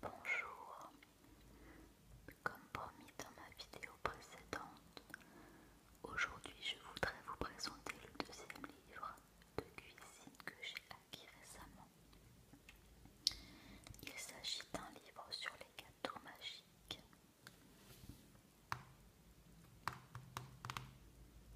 Bonjour, comme promis dans ma vidéo précédente, aujourd'hui je voudrais vous présenter le deuxième livre de cuisine que j'ai acquis récemment. Il s'agit d'un livre sur les gâteaux magiques.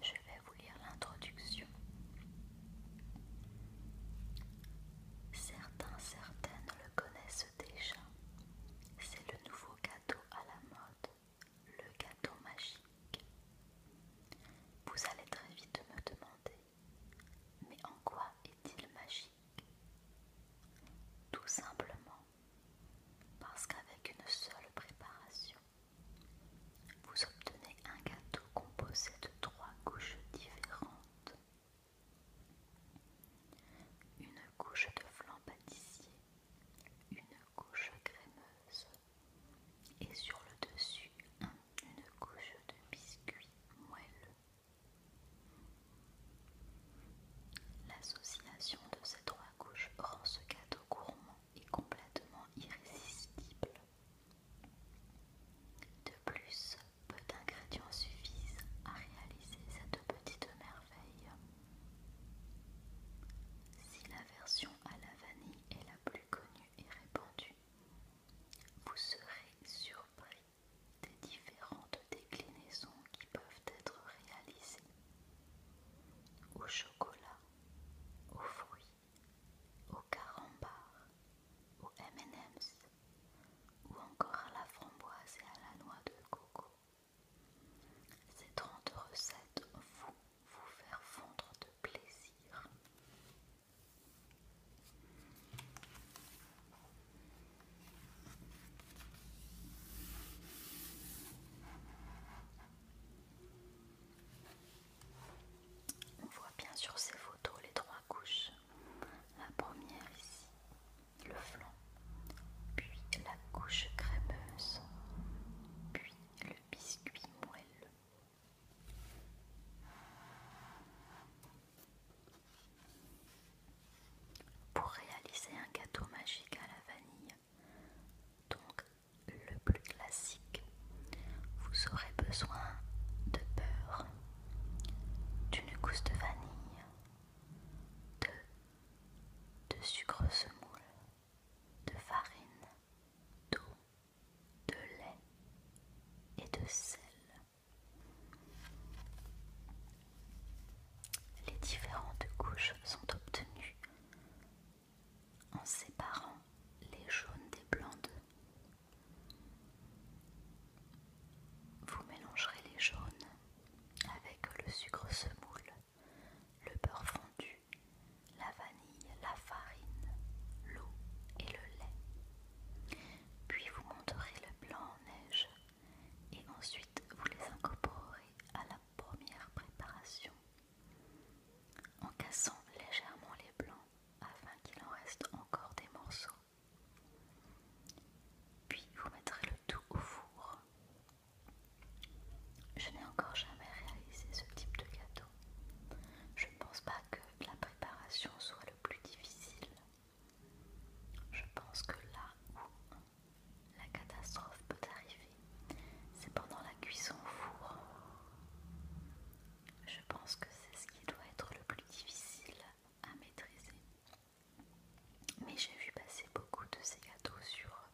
Je vais vous lire l'introduction Certains, certaines le connaissent déjà. C'est le nouveau gâteau à la mode, le gâteau magique. Vous allez très vite me demander, mais en quoi est-il magique Tout simplement parce qu'avec une seule préparation, vous obtenez un gâteau composé de trois couches différentes. Une couche de flan pâtissier, une couche crémeuse et sur le dessus une couche de biscuit moelleux. L'association de ces trois couches rend ce gâteau gourmand et complètement irrésistible. De plus, peu d'ingrédients suffisent à réaliser cette petite merveille. Si la version à la vanille est la plus connue et répandue, vous serez surpris des différentes déclinaisons qui peuvent être réalisées au chocolat, au fruits, au carambar, aux M&M's ou encore à la framboise et à la noix de coco. Ces 30 recettes vont vous faire fondre de plaisir. On voit bien sur ces photos les trois couches. La première ici, le flanc, puis la couche crémeuse, puis le biscuit moelleux. Pour réaliser un gâteau magique à la vanille, donc, le plus classique, vous aurez besoin de beurre, d'une gousse de vanille, de, de sucre semoule, de farine, d'eau, de lait et de sel. Les différentes couches sont obtenues en séparant les jaunes des blancs Vous mélangerez les jaunes avec le sucre semoule, le beurre fondu, la vanille, la farine, l'eau et le lait. Puis vous monterez le blanc en neige et ensuite vous les incorporerez à la première préparation en cassant légèrement les blancs afin qu'il en reste encore des morceaux. Puis vous mettrez le tout au four. Je n'ai encore jamais réalisé ce type de gâteau. Je ne pense pas que la préparation soit le plus difficile. Je pense que là où la catastrophe peut arriver. C'est pendant la cuisson au four. Je pense que c'est ce qui doit être le plus difficile à maîtriser. Mais j'ai vu passer beaucoup de ces gâteaux sur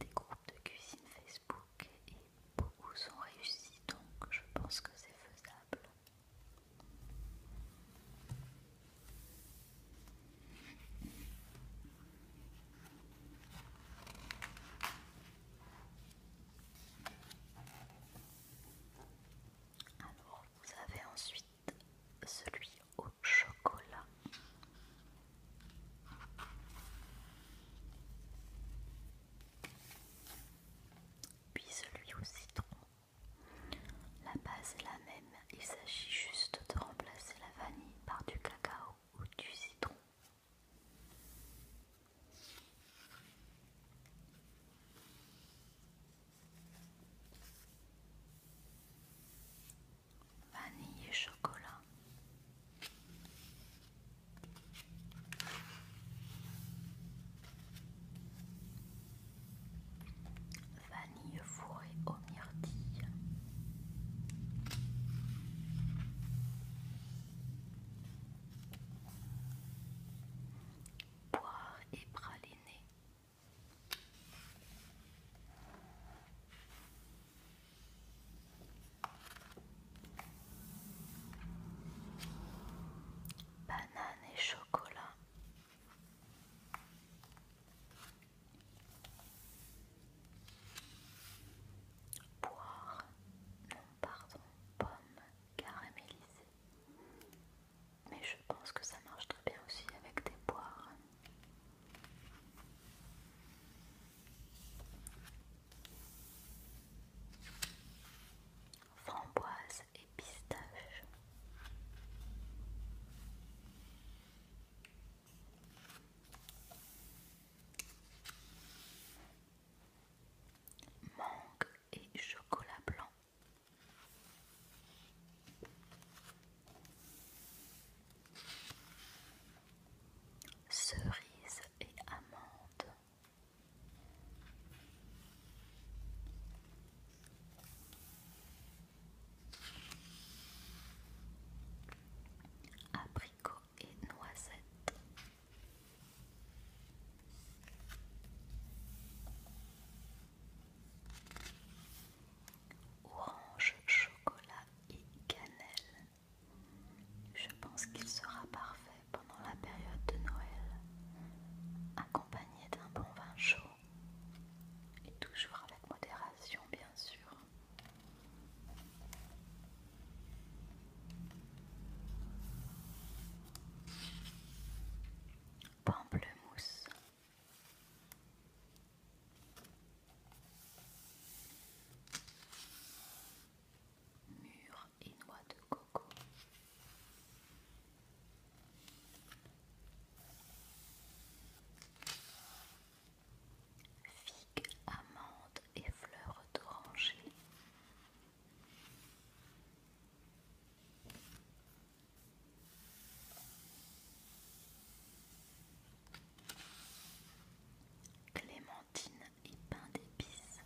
des groupes de cuisine Facebook et beaucoup sont réussis, donc je pense que c'est faisable. Alors, vous avez ensuite celui au chocolat. Puis celui au citron. La base est la même il s'agit juste de remplacer la vanille par du cacao ou du citron. Vanille et chocolat vanille fourrée aux myrtilles. Poire et praliné. Banane et chocolat. Poire, non pardon, pomme caramélisée. Mais je pense que ça marche très bien aussi avec des poires. Framboise et pistaches. Mangue et chocolat blanc. Cerise et amandes Abricot et noisette Orange, chocolat et cannelle. Je pense qu'il sera parfait pendant la période de Noël, accompagné d'un bon vin chaud et toujours avec modération bien sûr. Pamplemousse. Mûre et noix de coco. Figues, amandes et fleurs d'oranger. Clémentine et pain d'épices.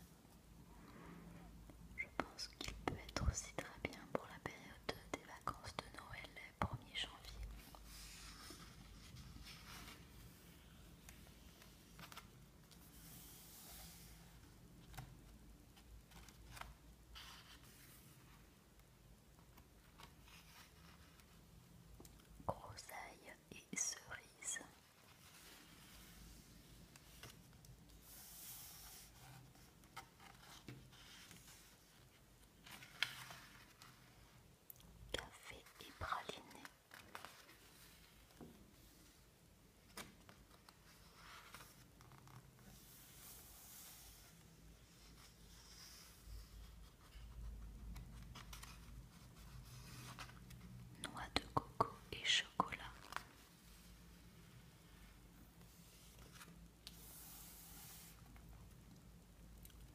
Je pense qu'il peut être aussi très bien pour la période des vacances de Noël, premier 1er janvier. Grosailles et cerises. Café et Noix de coco et chocolat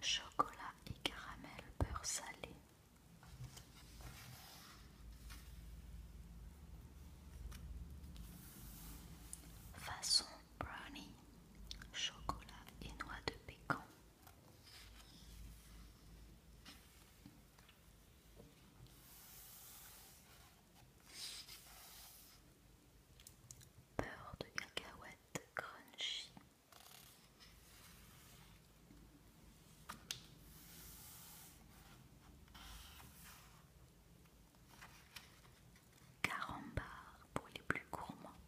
Chocolat et caramel beurre salé. Façon brownie, chocolat et noix de pécan. Beurre de cacahuète crunchy. Carambar pour les plus gourmands.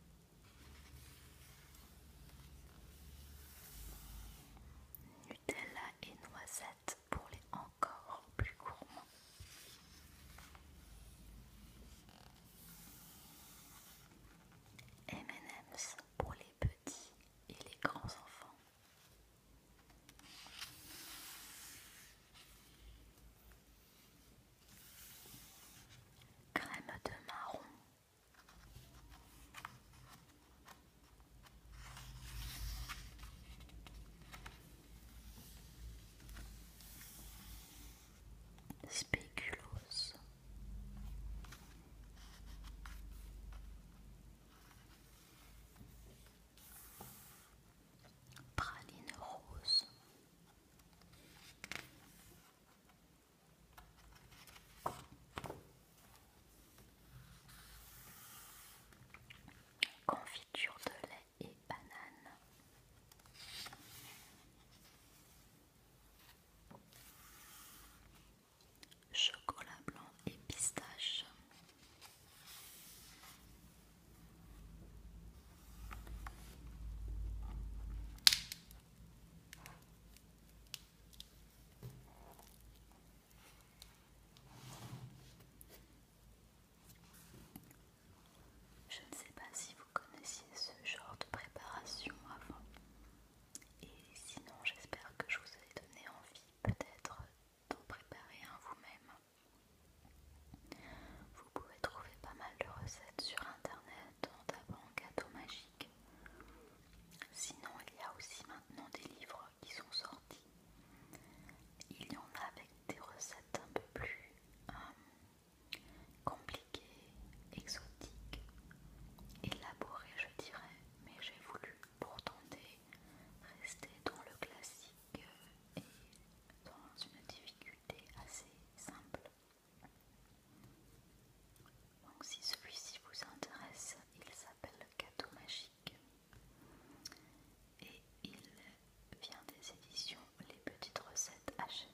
Nutella et noisette pour les encore plus gourmands. M&M's pour les petits et les grands enfants. Crème de marron. Spéculoos. Praline rose. Confiture de lait et banane. Chocolat blanc et pistache. Je ne sais pas si vous connaissiez ce genre de préparation avant. Et sinon, j'espère que je vous ai donné envie peut-être d'en préparer un vous-même. Vous pouvez trouver pas mal de recettes sur internet dans ta banque Magique. Sinon, il y a aussi maintenant des livres qui sont sortis. Il y en a avec des recettes un peu plus euh, compliquées, exotiques, élaborées je dirais, mais j'ai voulu pour tenter rester dans le classique euh, et dans une difficulté assez simple. Donc si celui-ci vous intéresse, il s'appelle le Cadeau Magique et il vient des éditions Les Petites Recettes Hachette.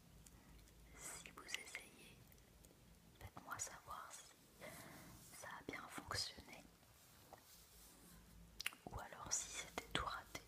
Si vous essayez, faites-moi savoir si ça a bien fonctionné ou alors si c'était tout raté.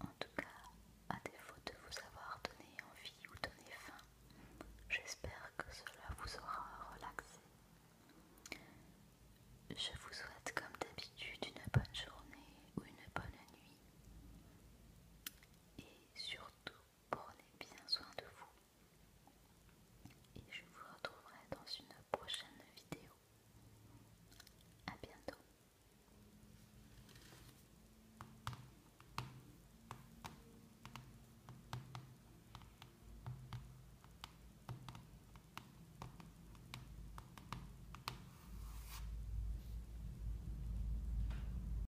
En tout cas, à défaut de vous avoir donné envie ou donné faim, j'espère que cela vous aura relaxé. Je vous souhaite comme d'habitude une bonne journée ou une bonne nuit. Et surtout, Prenez bien soin de vous. Et je vous retrouverai dans une prochaine vidéo. à bientôt.